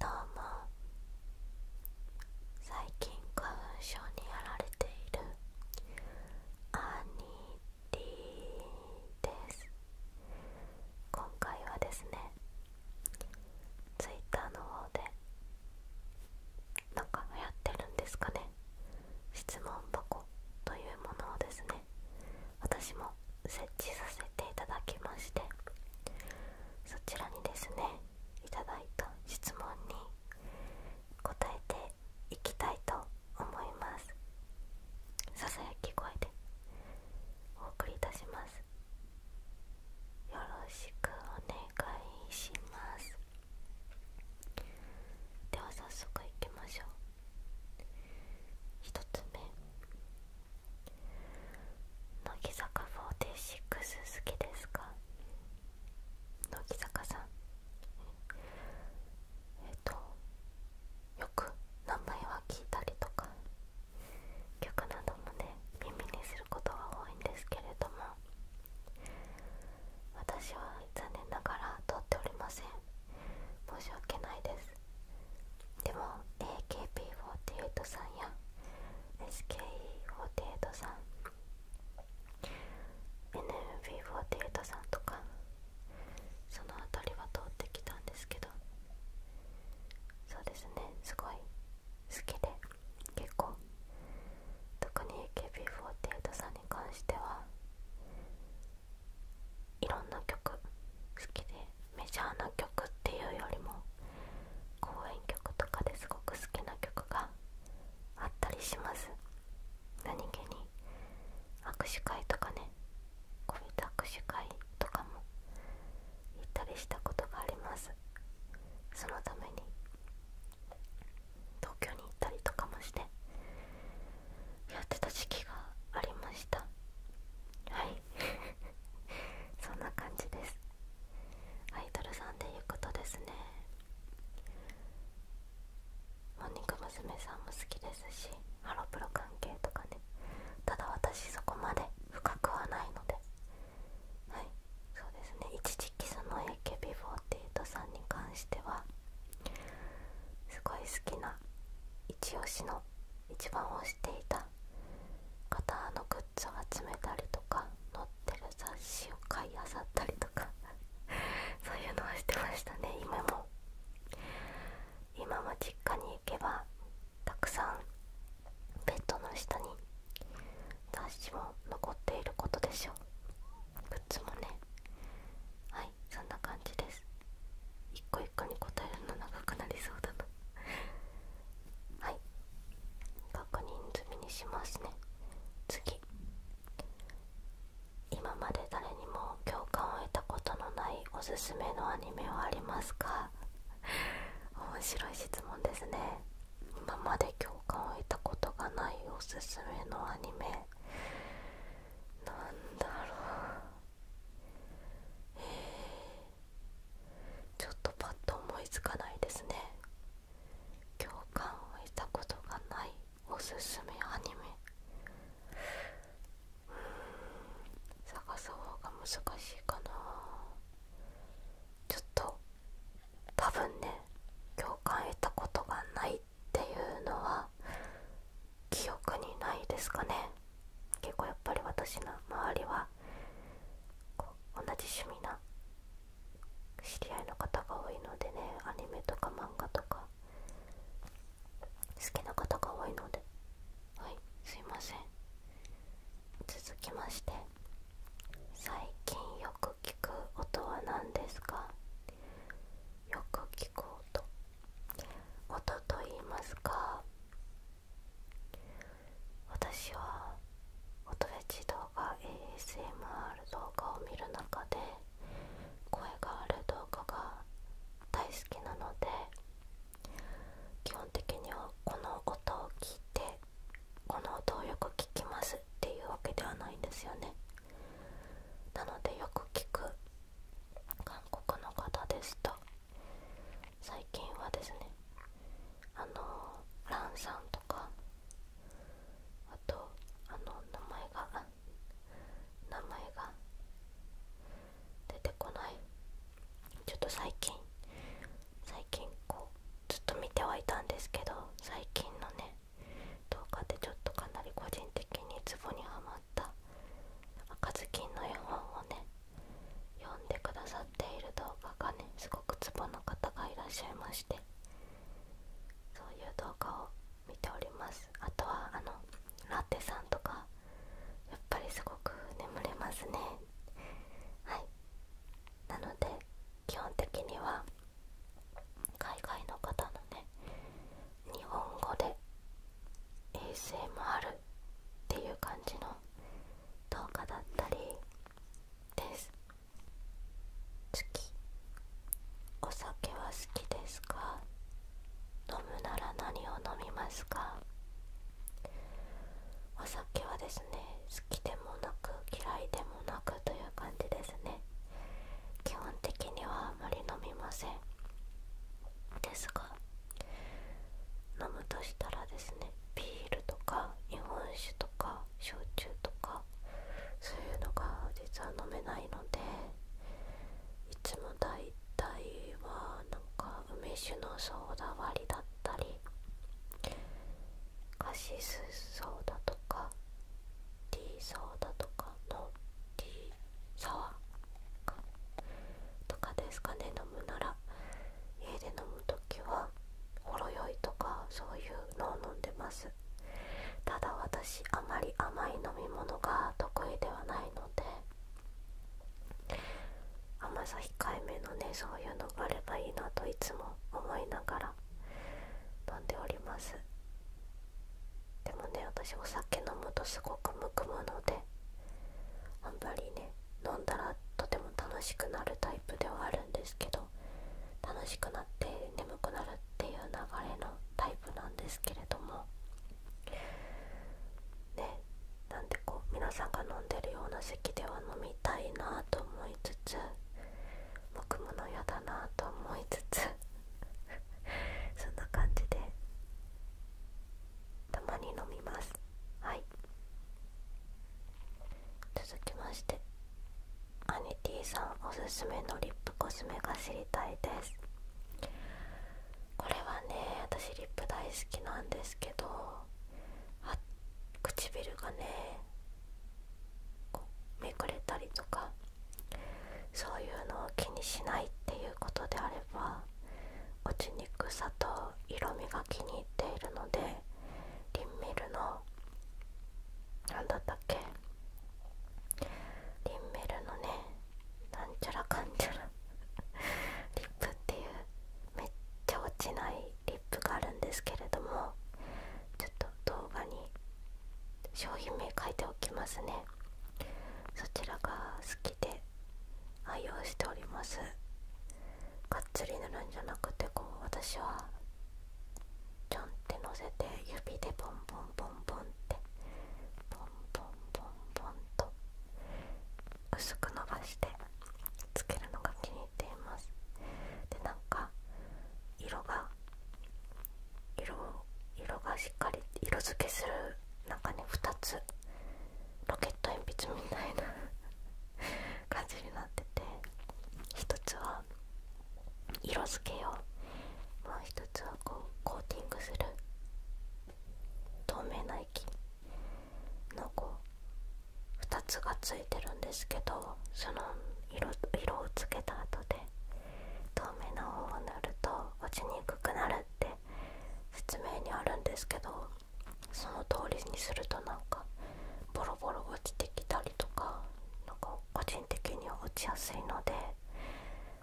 どうも最近花粉症にやられているアニテです今回はですね twitter の方でなんかやってるんですかね質問箱というものをですね私も設置させていただきましてそちらにですねいただいた質問に答えていきたいと思いますさき声でお送りいたしますよろしくお願いしますでは早速いきましょう1つ目乃木坂46好きですか乃木坂さんえっとよく名前は聞いたりとか曲などもね耳にすることが多いんですけれども私は残念ながら通っておりません申し訳ないですでも AKB48 さんや SKE48 さん NMB48 さんとかその辺りは通ってきたんですけどそうですねすごい好きで結構特に AKB48 さんに関してはいろんな曲好きでメジャーな曲っていうよりも公演曲とかですごく好きな曲があったりします何気に握手会とかねこういった握手会とかも行ったりしたことがありますそのために東京に行ったりとかもしてやってた時期がありましたはい そんな感じですアイドルさんでいうことですねモーニング娘。さんも好きですしハロプロ関係とかねただ私そこまで深くはないのではいそうですね一時期その AKB48 さんに関してはすごい好きな一押しの一番推していた型のグッズを集めたりとか載ってる雑誌を買いあさったりとか そういうのをしてましたね今も今も実家に行けばたくさんベッドの下に雑誌も残っていることでしょうグッズもねはいそんな感じです一個に答えるの長くなりそうだはい確認済みにしますね次今まで誰にも共感を得たことのないおすすめのアニメはありますか面白い質問ですね今まで共感を得たことがないおすすめのアニメなんだろうちょっとパッと思いつかないですね共感を得たことがないおすすめアニメうん探す方が難しいかなちょっと多分ね共感得たことがないっていうのは記憶にないですかね結構やっぱり私の周りは同じ趣味な知り合いの方が多いのでねアニメとか漫画とか好きな方が多いのではいすいません続きまして最近よく聞く音は何ですかよく聞く音音と言いますか私は音フェチ動画 ASMR 動画を見る中で声がある動画が大好きなので基本的にはこの音を聞いてこの音をよく聞きますっていうわけではないんですよねなのでよく聞く韓国の方ですと最近はですねあのランさんとかあとあの名前が名前が出てこないちょっと最近最近こうずっと見てはいたんですけど最近のね動画でちょっとかなり個人的にツボにはまった赤ずきんの絵本をね読んでくださっている動画がねすごくツボの方がいらっしゃいましてそういう動画を見ておりますあとはあのラテさんとかやっぱりすごく眠れますねはいなので基本的には海外の方のね日本語で ASMR っていう感じの動画だったりです月お酒は好きですか飲むなら何を飲みますかお酒はですね好きでもなく嫌いでもなくという感じですね基本的にはあまり飲みませんですが飲むとしたらですねビールとか日本酒とか焼酎とかそういうのが実は飲めないのでいつも大体はなんか梅酒のソーダ割りだったりカシスソーダとかティーソーダとかのティーサワーとかですかね飲むなら家で飲む時はほろ酔いとかそういうのを飲んでますただ私あまり甘い飲み物が得意ではないので甘さ控えめのねそういうのがあればいいなといつも思いながら飲んでおりますでもね私お酒飲むとすごくむくむのであんまりね飲んだらとても楽しくなるタイプではあるんですけど楽しくなって眠くなるっていう流れのタイプなんですけれどもねなんでこう皆さんが飲んでるような席では飲みたいなと思いつつ僕ものやだなと思いつつ そんな感じでたまに飲みます。はい続きましてアニさんおすすめのリップコスメが知りたいですこれはね私リップ大好きなんですけど唇がねこうめくれたりとかそういうのを気にしないっていうことであれば落ちにくさと色味が気に入っているのでリンメルの何だったっけリンメルのねなんちゃらかんちゃらリップっていうめっちゃ落ちないリップがあるんですけれどもちょっと動画に商品名書いておきますねそちらがで愛用しておりますがっつり塗るんじゃなくてこう私はちょんってのせて指でボンボンボンボンってボンボンボンボンと薄く伸ばしてつけるのが気に入っていますでなんか色が色色がしっかり色付けする中に2つロケット鉛筆みたいな 感じになってて一つは色付けをもう一つはこうコーティングする透明な液のこう2つがついてるんですけどその色色をつけた後で透明な方を塗ると落ちにくくなるって説明にあるんですけどその通りにするとなんかボロボロ落ちてきたりとかなんか個人的には落ちやすいので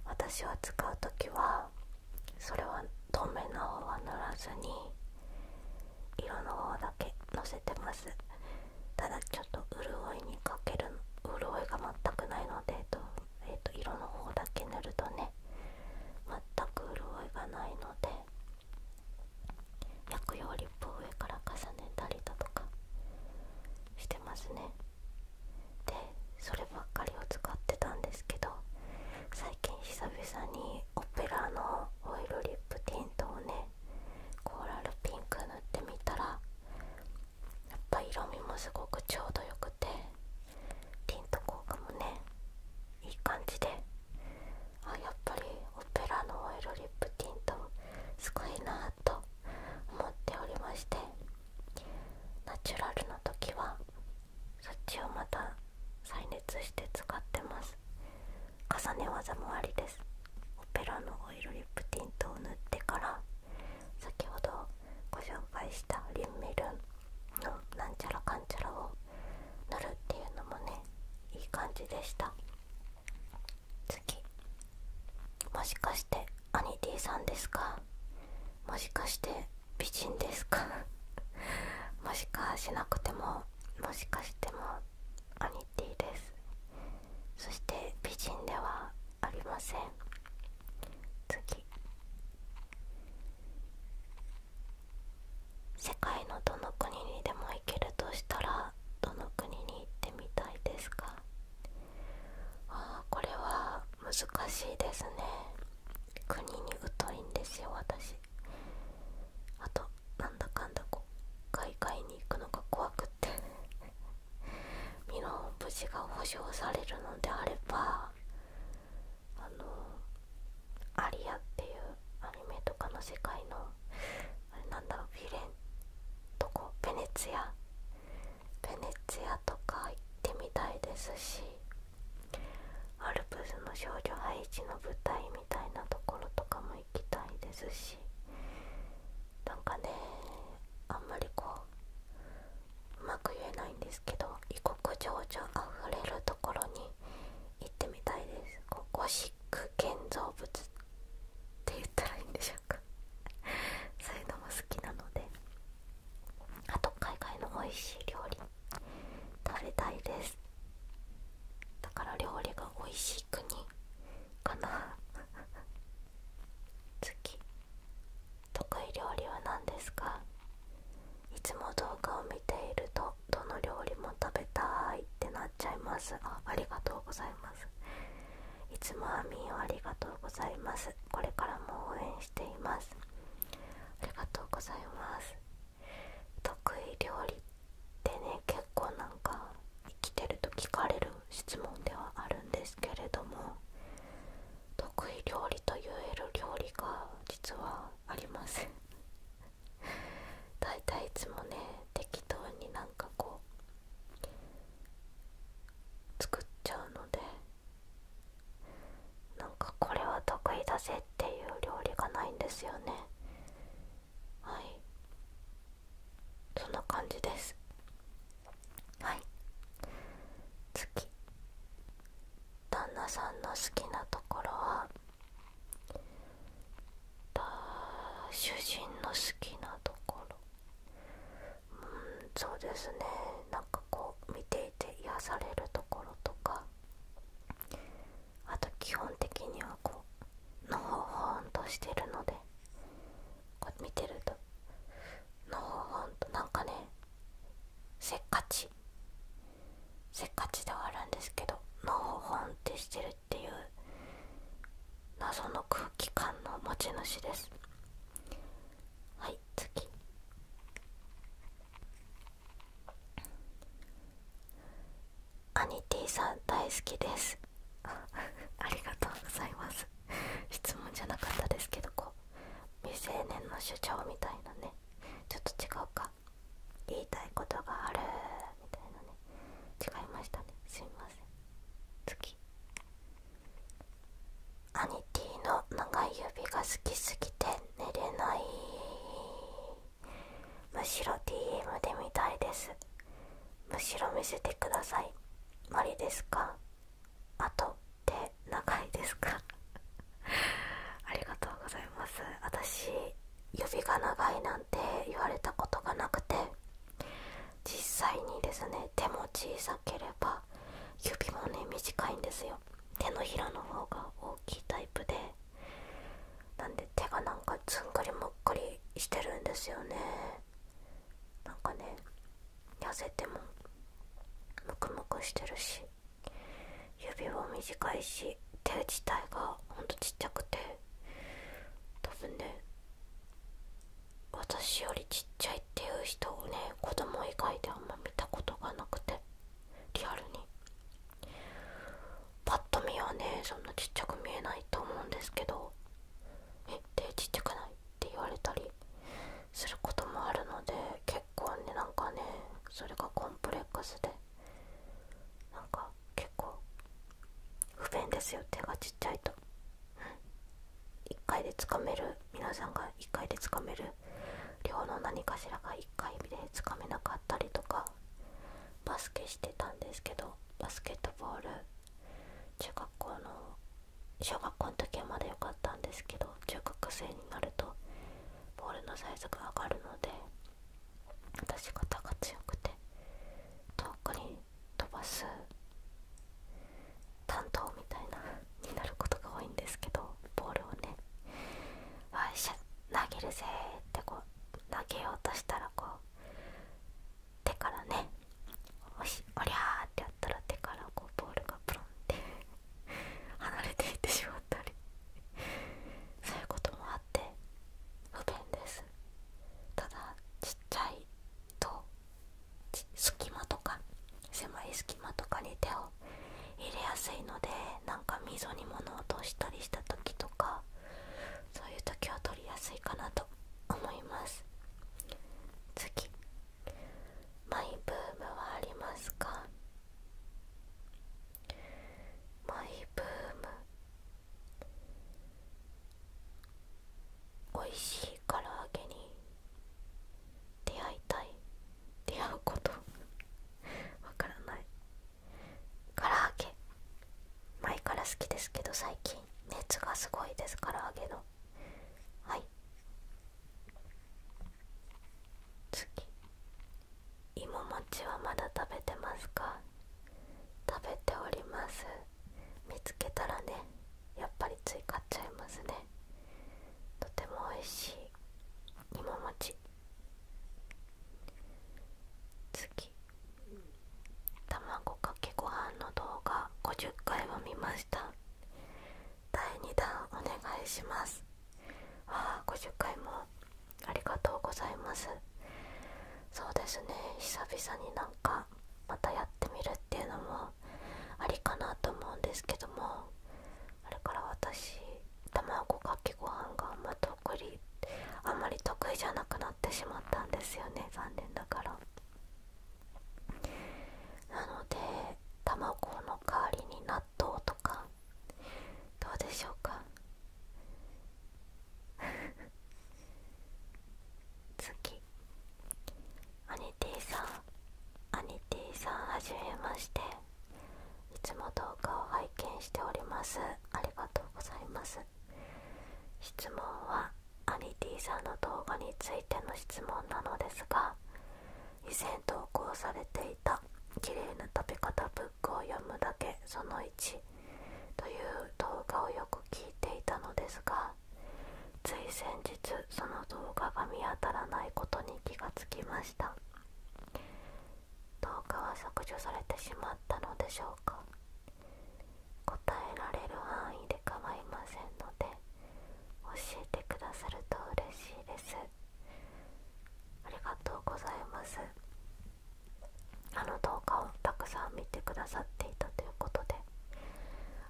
私は使う時はそれは透明な方は塗らずに色の方だけのせてますただちょっと潤いにかける潤いが全くないので、えーと色の方だけ塗るとね全く潤いがないので薬用リップを上から重ねたりだとかしてますねでそればっかりを使ってたんですけど最近久々にオペラのオイルリップティントをねコーラルピンク塗ってみたらやっぱ色味もすごくちょうどよくてティント効果もねいい感じであやっぱりオペラのオイルリップティントすごいなぁと思っておりましてナチュラルの時はそっちをまた再熱して使ってます重ね技もありですオペラのオイルリップティントを塗ってから先ほどご紹介したリンメルンのなんちゃらかんちゃらを塗るっていうのもねいい感じでした次もしかしてアニティさんですかもしかして美人ですか もしかしなくてももしかしてもアニティですそして美人ではありません次世界のどの国にでも行けるとしたらどの国に行ってみたいですかああこれは難しいですね国に疎いんですよ私あとなんだかんだこう海外に行くのが怖くって 身の無事が保証されるのであればあの「アリア」っていうアニメとかの世界のあれなんだろうフィレンとこベネツィアベネツィアとか行ってみたいですしアルプスの少女ハイジの舞台みたいなところとかも行きたいですしなんかねあんまりこううまく言えないんですけど異国情緒あふれるところに行ってみたいですこゴシック建造物って言ったらいいんでしょうか そういうのも好きなのであと海外の美味しい料理食べたいですだから料理が美味しい国かな 次得意料理は何ですかいつも動画を見ているとどの料理も食べたいってなっちゃいますあありがとうございますいつもアミーをありがとうございますこれからも応援していますありがとうございます得意料理ってね結構なんか生きてると聞かれる質問ではあるんですけれども得意料理と言える料理が実はあります大体いつもね適当になんかこう作っちゃうのでなんかこれは得意だぜっていう料理がないんですよねはいそんな感じですはい次旦那さんの好きなところは主人の好きなところうんそうですねなんかこう見ていて癒されるところとかあと基本的にはこうのほほんとしてるのでこう見てるとのほほんとなんかねせっかちせっかちではあるんですけどのほほんってしてるっていう謎の空気感の持ち主ですはい次アニティさん大好きです ありがとうございます質問じゃなかったですけどこう未成年の主張みたいなねちょっと違うか言いたいことがあるみたいなね違いましたねすいません次アニティの長い指が好きすぎて寝れないむしろ DM で見たいですむしろ見せてくださいマリですかあと手長いですか ありがとうございます私指が長いなんて言われたことがなくて実際にですね手も小さければ指もね短いんですよ手のひらの方が大きいタイプでなんで手がなんかずんぐりむっくりしてるんですよねなんかね痩せてもムクムクしてるし指も短いし手自体がほんとちっちゃくて多分ね私よりちっちゃいっていう人をね子供以外であんま見たことがなくてリアルにパッと見はねそんなちっちゃく見えないと思うんですけど「えっ手ちっちゃくない?」って言われたりすることもあるので結構ねなんかねそれがコンプレックスでなんか結構不便ですよ手がちっちゃいと、1回でつかめる皆さんが1回でつかめる量の何かしらが1回でつかめなかったりとかバスケしてたんですけどバスケットボール中学校の小学校の時はまだ良かったんですけど中学生になるとボールのサイズが上がるので出し方が強くて遠くに飛ばす担当みたいなになることが多いんですけどボールをね「わいしゃ投げるぜ」ってこう投げようとしたらこう手からね「おしおりゃー」ってやったら手からこうボールがプロンって 離れていってしまったりそういうこともあって不便ですただちっちゃいと隙間とか狭い隙間とかに手を入れやすいのでなんか溝に物を落としたりした時とかそういう時は取りやすいかなと思います次マイブームはありますかマイブームおいしい唐揚げに出会いたい出会うことわからない唐揚げ前から好きですけど最近熱がすごいです唐揚げのはい次いもはまだ食べてますか食べております見つけたらねやっぱりつい買っちゃいますねとても美味しいいも卵かけご飯の動画50回を見ました第2弾お願いしますああ50回もありがとうございますそうですね久々になんかまたやってみるっていうのもありかなと思うんですけどもあれから私卵かけご飯がまたま得意あんまり得意じゃなくなってしまったんですよね残念だからなので卵の代わりに納豆とかどうでしょうか 次アニティさんアニティさんはじめましていつも動画を拝見しておりますありがとうございます質問はアニティさんの動画についての質問なのですが以前投稿されていた綺麗な食べ方ブッック読むだけその1という動画をよく聞いていたのですがつい先日その動画が見当たらないことに気がつきました動画は削除されてしまったのでしょうか答えられる範囲で構いませんので教えてくださると嬉しいですありがとうございますあの動画をたくさん見てくださっていたということで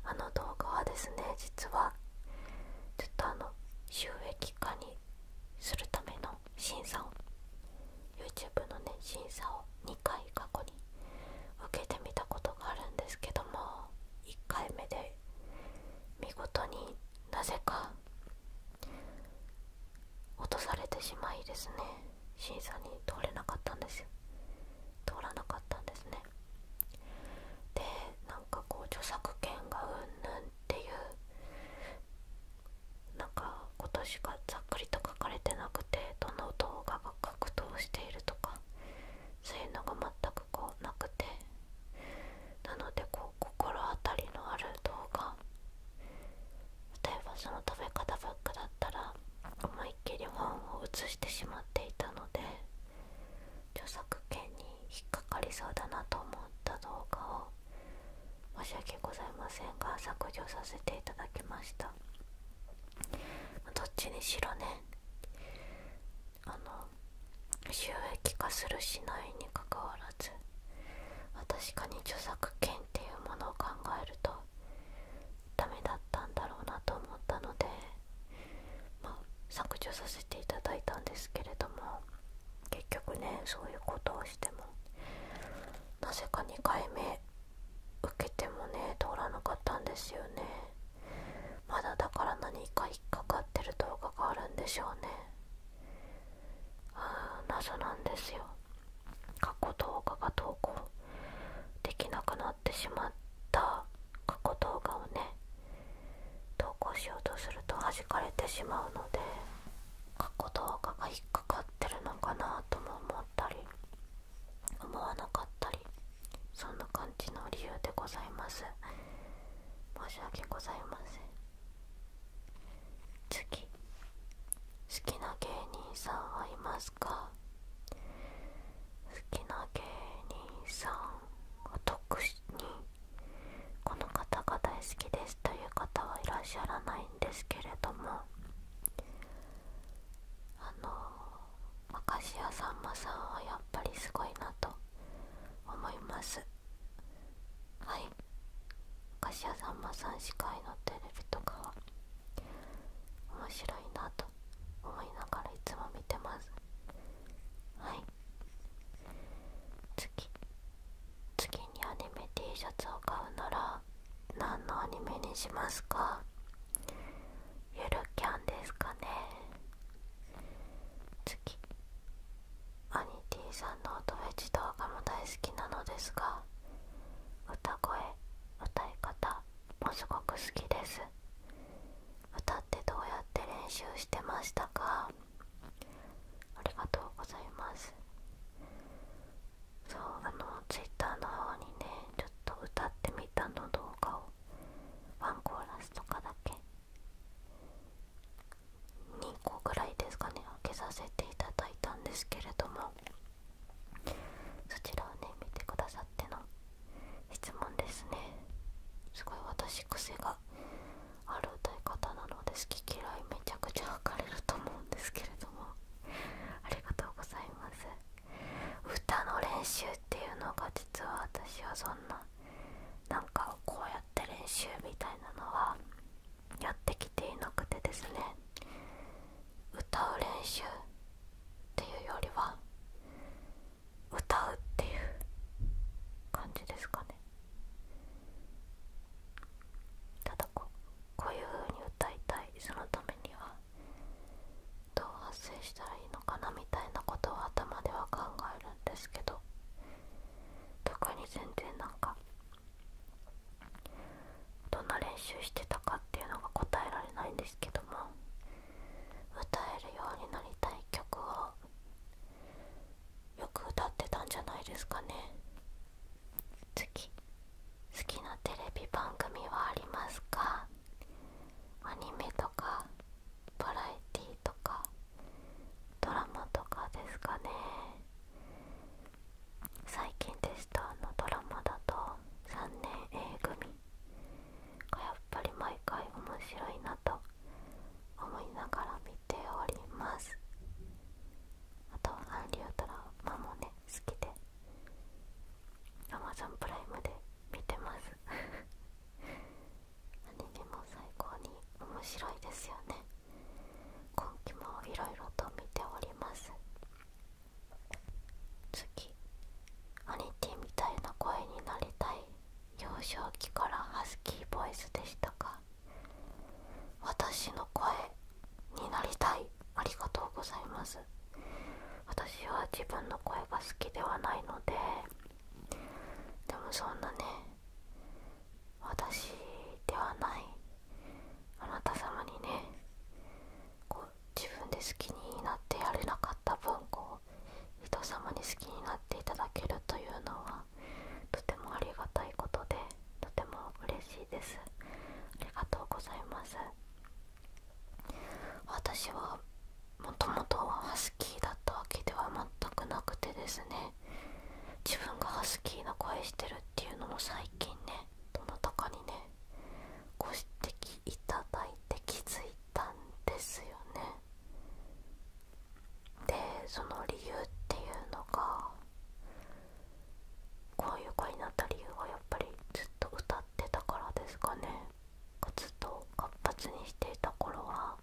あの動画はですね実はずっとあの収益化にするための審査を YouTube のね審査を2回過去に受けてみたことがあるんですけども1回目で見事になぜか落とされてしまいですね審査に通れなかったんですよ通らなかったんですねでなんかこう著作権がうんぬんっていうなんか今年がざっくりと書かれてなくてどの動画が格闘しているとかそういうのが全くこうなくてなのでこ心当たりのある動画例えばその食べ方ばッかだったら思いっきり本を写してしまっていたので著作権に引っかかりそうだなと思った動画を申し訳ございませんが削除させていただきましたどっちにしろねあの収益化するしないにかかわらず確かに著作権っていうものを考えるとダメだったんだろうなと思ったので、ま削除させていただいたんですけれども結局ねそういうことをしてもなぜか2回目受けてもね通らなかったんですよねまだだから何か引っかかってる動画があるんでしょうね謎なんですよ過去動画が投稿できなくなってしまった過去動画をね投稿しようとすると弾かれてしまうので過去動画が引っかかってるのかなとも思ったり思わなかったりそんな感じの理由でございます申し訳ございません好きな芸人さんはいますか好きな芸人さんは特にこの方が大好きですという方はいらっしゃらないんですけれどもあの明石家さんまさんはやっぱりすごいなと思いますはい菓子屋さんまさん司会のテレビとかは面白いなと思いながらいつも見てますはい次次にアニメ T シャツを買うなら何のアニメにしますかゆるキャンですかね次アニティさんの音フェチ動画も大好きなのですが歌声歌い方もすごく好きです歌ってどうやって練習してましたかありがとうございますそうあのツイッターの方にねちょっと歌ってみたの動画をワンコーラスとかだけ2個ぐらいですかね開けさせていただいたんですけれどもそちらをね見てくださっての質問ですねすごい私癖がある歌い方なので好き嫌いめちゃくちゃ分かれると思うんですけれどもありがとうございます歌の練習っていうのが実は私はそんななかこうやっ練習みたいなのはやってきていなくてですね歌う練習っていうよりは歌うっていう感じですかねただこう。こういう風に歌いたいそのためにはどう発声したらいいのかなみたいなことを頭では考えるんですけど特に全然なんかどんな練習してたかっていうのが答えられないんですけども歌えるようになりたい曲をよく歌ってたんじゃないですかね次好きなテレビ番組はありますかアニメとかバラエティとかドラマとかですかね最近テストのドラマだと3年 A 組がやっぱり毎回面白いなと思いながら見ておりますあと韓流ドラマもね好きで Amazon プライムで見てます何 ニも最高に面白いですよね今期もいろいろと見ております次アニティみたいな声になりたい幼少期からハスキーボイスでしたか？私の声になりたいありがとうございます私は自分の声が好きではないのででもそんなね私ではないあなた様にね自分で好きになってやれなかった分こう人様に好きになっていただけるというのはとてもありがたいことでとても嬉しいですありがとうございます私はもともとはハスキーだったわけでは全くなくてですね自分がハスキーな声してるっていうのも最近ねどなたかにねご指摘いただいて気づいたんですよねでその理由っていうのがこういう声になった理由はやっぱりずっと歌ってたからですかね活動活発にしていた頃は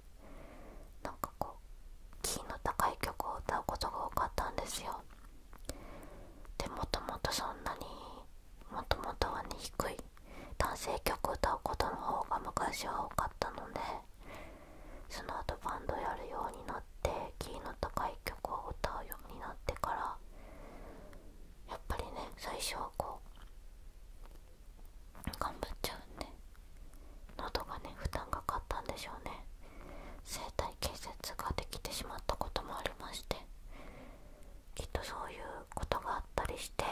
なんかこうキーの高い曲を歌うことが多かったんですよでもともとそんなにもともとはね低い男性曲歌うことの方が昔は多かったのでその後バンドやるようになってキーの高い曲を歌うようになってからやっぱりね最初はこう頑張っちゃうね。で喉がね負担がかかったんでしょうね生体建設ができてしまったこともありましてきっとそういうことがあったりして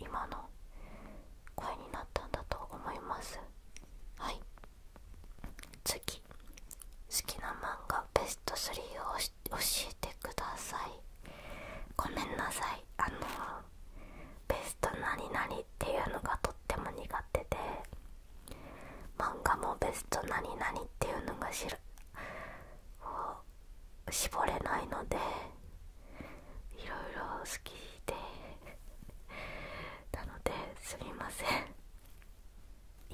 今の声になったんだと思いますはい次好きな漫画ベスト3を教えてくださいごめんなさいあのベスト何々っていうのがとっても苦手で漫画もベスト何々っていうのが知る絞れないのでいろいろ好きでなのですみません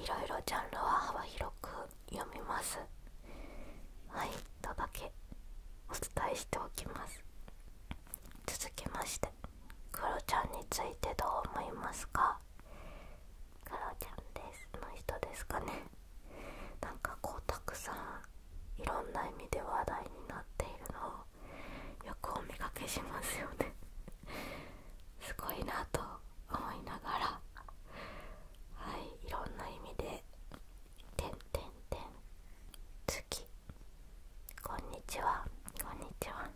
いろいろジャンルは幅広く読みますはいとだけお伝えしておきます続きましてクロちゃんについてどう思いますかクロちゃんですの人ですかねなんかこうたくさんいろんな意味で話題になっているのをよくお見かけしますよねすごいなと思いながらはいいろんな意味で「てんてんてん」「月」「こんにちは」「こんにちは」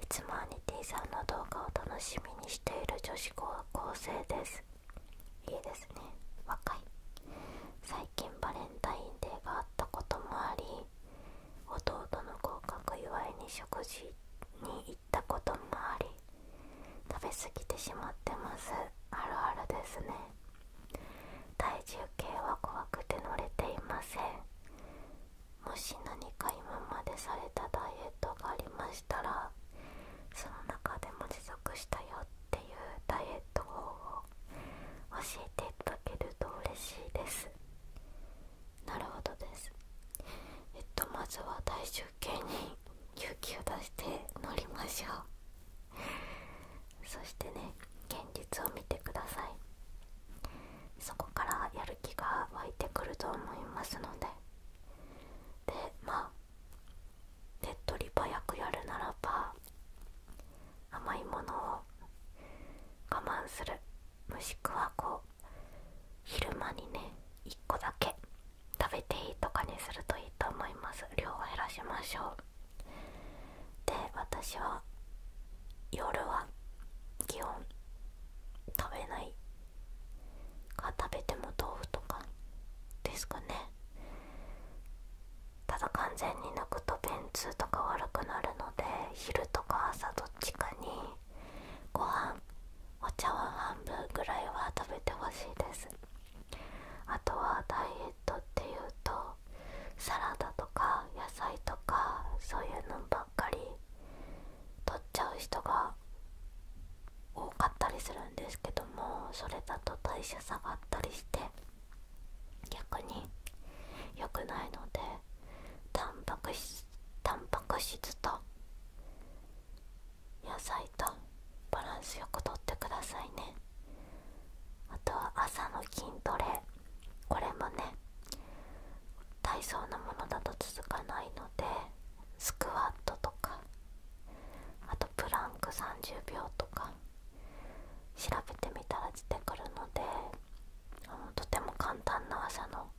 いつもアニティさんの動画を楽しみにしている女子高校生ですいいですね若い最近バレンタインデーがあったこともあり弟の合格祝いに食事に行ったこともあり食べ過ぎてしまってますあるあるですね体重計は怖くて乗れていませんもし何か今までされたダイエットがありましたらその中でも持続したよっていうダイエット方法教えていただけると嬉しいですなるほどですえっとまずは体重計に勇気を出して乗りましょうそしてね現実を見てくださいそこからやる気が湧いてくると思いますのででまあ手っ取り早くやるならば甘いものを我慢するもしくはこう昼間にね1個だけ食べていいとかにするといいと思います量を減らしましょうで私は夜は気温。食べないか食べても豆腐とかですかねただ完全に抜くと便通とか悪くなるので昼とか朝どっちかにご飯お茶碗半分ぐらいは食べてほしいですあとはダイエットっていうとサラダとか野菜とかそういうのばっかり取っちゃう人が多かったりするんですけどもそれだと代謝下がったりして逆に良くないのでタンパク質タンパク質と野菜とバランスよくとってくださいねあとは朝の筋トレこれもね体操なものだと続かないのでスクワットとかあとプランク30秒とか調べてみたら出てくるのでとても簡単な朝の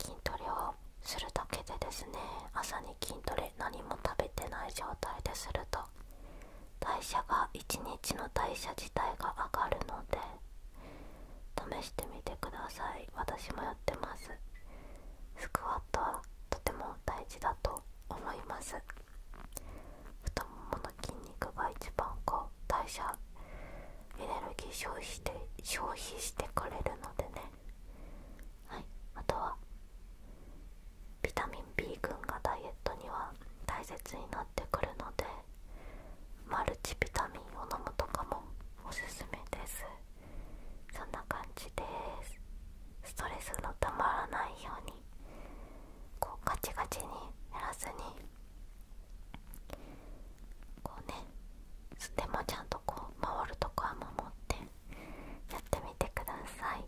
筋トレをするだけでですね朝に筋トレ何も食べてない状態ですると代謝が一日の代謝自体が上がるので試してみてください私もやってますスクワットはとても大事だと思います太ももの筋肉が一番こう代謝エネルギー消費して消費してくれるのでねはいあとはビタミン B 群がダイエットには大切になってくるのでマルチビタミンを飲むとかもおすすめですそんな感じですストレスのたまらないようにこうガチガチに減らずにこうねステマちゃんとこう回るとこは守ってやってみてください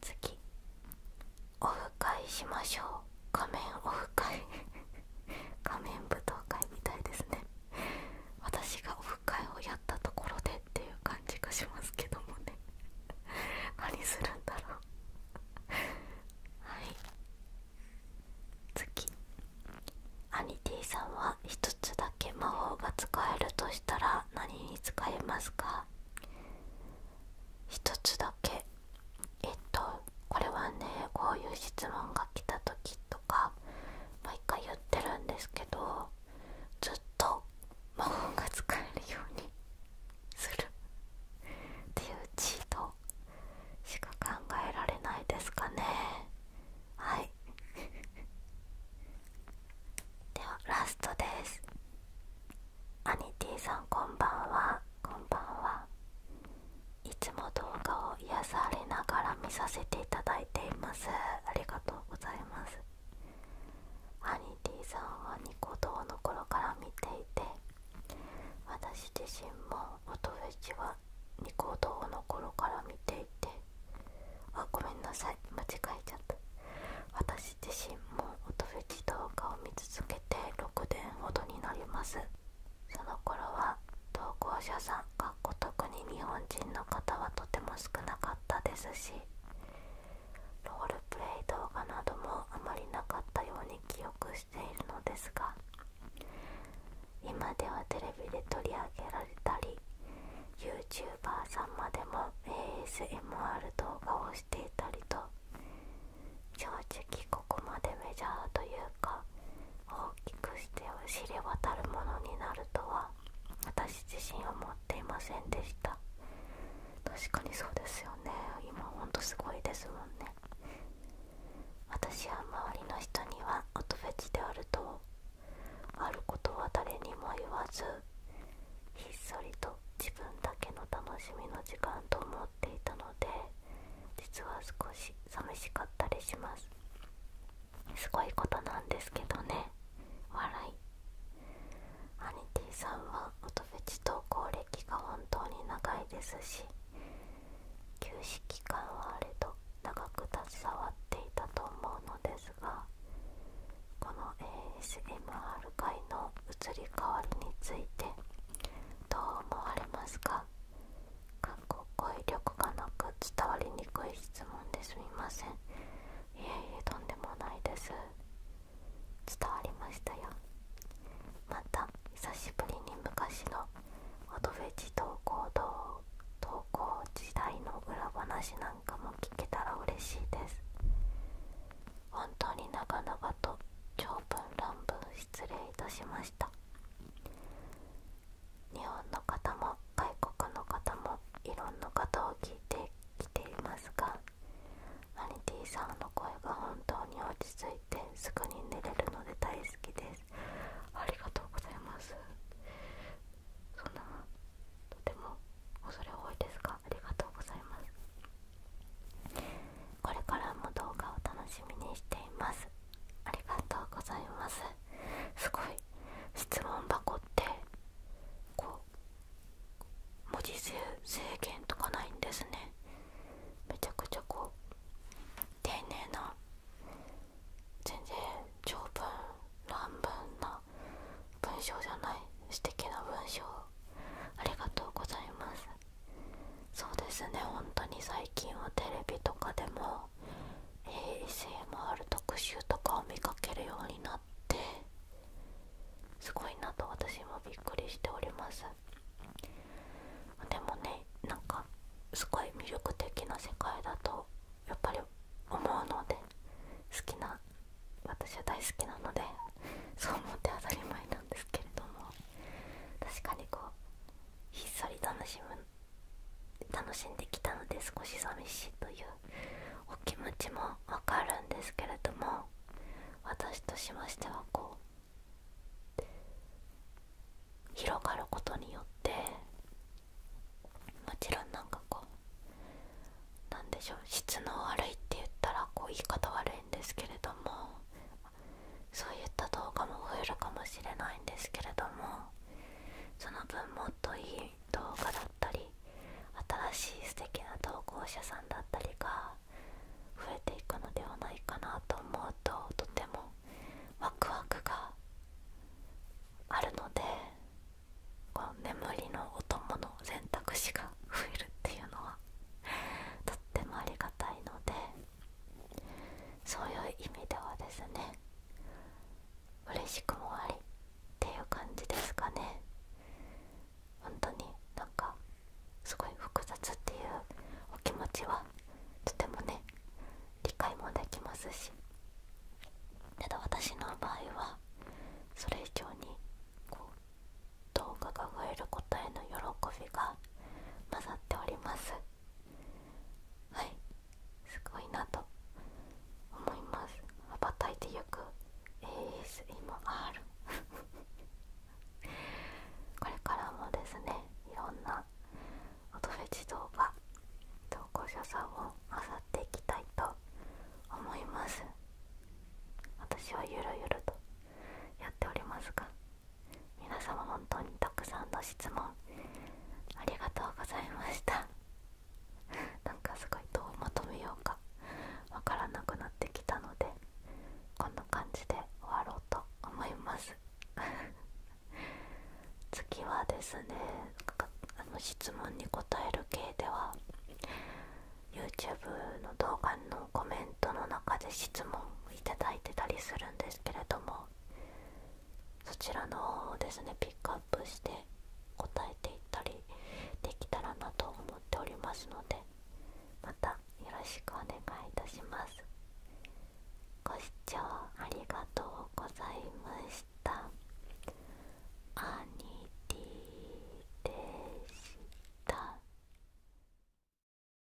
次オフ会しましょう仮面オフ会仮面舞踏会みたいですね私がオフ会をやったところでっていう感じがしますけどもね 何するんだろう はい次アニティさんは一つだけ魔法が使えるとしたら何に使えますか一つだけえっとこれはねこういう質問が来た時とか毎回言ってるんですけどずっと魔法が使えるように するっていうチートしか考えられないですかねはい ではラストですアニティさんこんばんはこんばんはいつも動画を癒されながら見させていただいていますありがとうございますハニティさんはニコ動の頃から見ていて私自身も音フェチはニコ動の頃から見ていてあごめんなさい間違えちゃった私自身も音フェチ動画を見続けて6年ほどになりますその頃は投稿者さんかっこ特に日本人の方はとても少なかったですしロールプレイ動画などもあまりなかったように記憶しているのですが今ではテレビで取り上げられたり YouTuber さんまでも ASMR 動画をしていたりと正直ここまでメジャーというか大きくして知れ渡るものになるとは私自身を持っていませんでした確かにそうですよね今ほんとすごいですもんね私は周りの人には音フェチであるとあることは誰にも言わずひっそりと自分だけの楽しみの時間と思ていたので実は少し寂しかったりしますすごいことなんですけどね笑いアニティさんは音フェチ投稿歴が本当に長いですし休止期間はあれと長く携わっていたと思うのですがこの ASMR 界の移り変わりについてどう思われますかかっこ語彙力がなく伝わりにくい質問ですみませんいえいえとんでもないです伝わりましたよまた久しぶりに昔の音フベチ投稿動投稿時代の裏話なんかも聞けたら嬉しいです本当に長々と長文乱失礼いたしました日本の方も外国の方もいろんなことを聞いてきていますがマニティさんの声が本当に落ち着いてすぐに寝れるので大好きですありがとうございますそんなとても恐れ多いですがありがとうございますこれからも動画を楽しみにしていますありがとうございますすごい質問箱ってこう文字数制限とかないんですねめちゃくちゃこう丁寧な全然長文乱文な文章じゃない素敵な文章ありがとうございますそうですね本当に最近はテレビとかでも a s m る。特集とかを見かけるようになってすごいなと私もびっくりしておりますでもねなんかすごい魅力的な世界だとやっぱり思うので好きな私は大好きなのでそう思って当たり前けれども確かにこうひっそり楽しむ楽しんできたので少し寂しいというお気持ちもわかるんですけれども私としましてはこう広がることによってもちろんなんかこう何でしょう質の悪いって言ったらこう言い方悪いんですけれどもそういった動画も増えるかもしれないんですけれどもその分もっといい動画だったり新しい素敵な投稿者さんだったりが増えていくのではないかなと思うととてもワクワクがあるのでこう眠りのお供の選択肢が増えるっていうのはとってもありがたいので。そういう意味ではですね嬉しくもありっていう感じですかね本当になんかすごい複雑っていうお気持ちはとてもね理解もできますしただ私の場合はそれ以上にこう動画が増えることへの喜びが混ざっておりますはいすごいなと思います羽ばたいてゆく ASMR これからもですねいろんな音フェチ動画投稿者さんをあさっていきたいと思います私はゆるゆるとやっておりますが皆様本当にたくさんの質問ありがとうございました なんかすごいどうまとめようかわからなくなってきたのでこんな感じで終わろうと思います 次はですねあの質問に答える系では YouTube の動画のコメンメの中で質問いただいてたりするんですけれどもそちらの方をですねピックアップして答えていったりできたらなと思っておりますのでまたよろしくお願いいたしますご視聴ありがとうございましたアニティでした